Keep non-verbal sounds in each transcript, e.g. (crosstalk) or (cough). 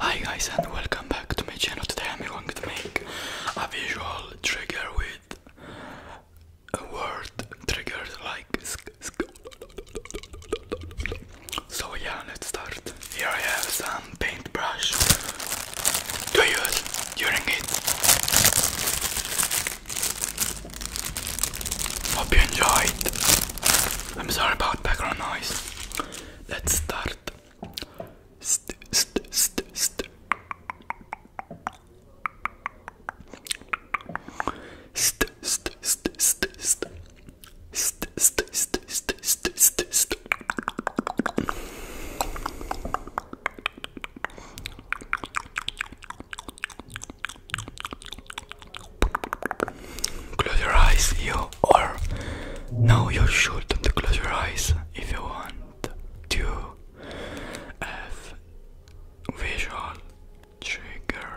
Hi guys and welcome back to my channel. Today I'm going to make a visual trigger with a word trigger, like So yeah, let's start. Here I have some paintbrush to use during it. Hope you enjoyed. I'm sorry about background noise. Let's start. St st st st st st st st st st st st st st st st Close your eyes, you are. Now you shouldn't close your eyes if you want to have visual trigger.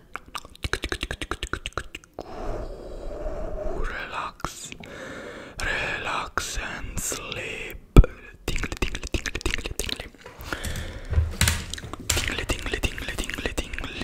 Relax, relax and sleep. Tingle, tingle, tingle, tingle, tingle. Tingle, tingle, tingle, tingle, tingle.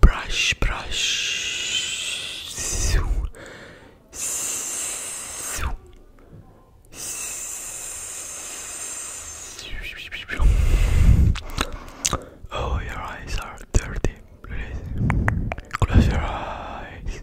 Brush, brush. Oh, your eyes are dirty. Please close your eyes.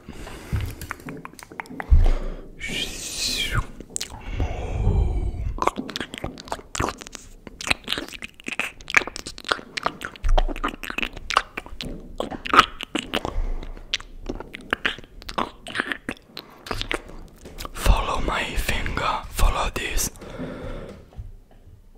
Follow my finger, follow this.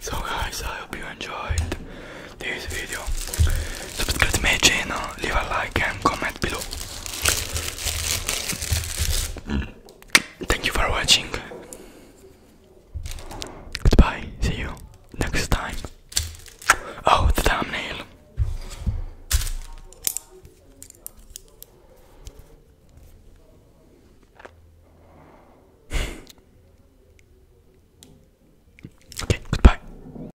So guys, I hope you enjoyed this video subscribe to my channel, leave a like and comment below. Mm. Thank you for watching. Goodbye, see you next time. Oh, the thumbnail. (laughs) okay, goodbye.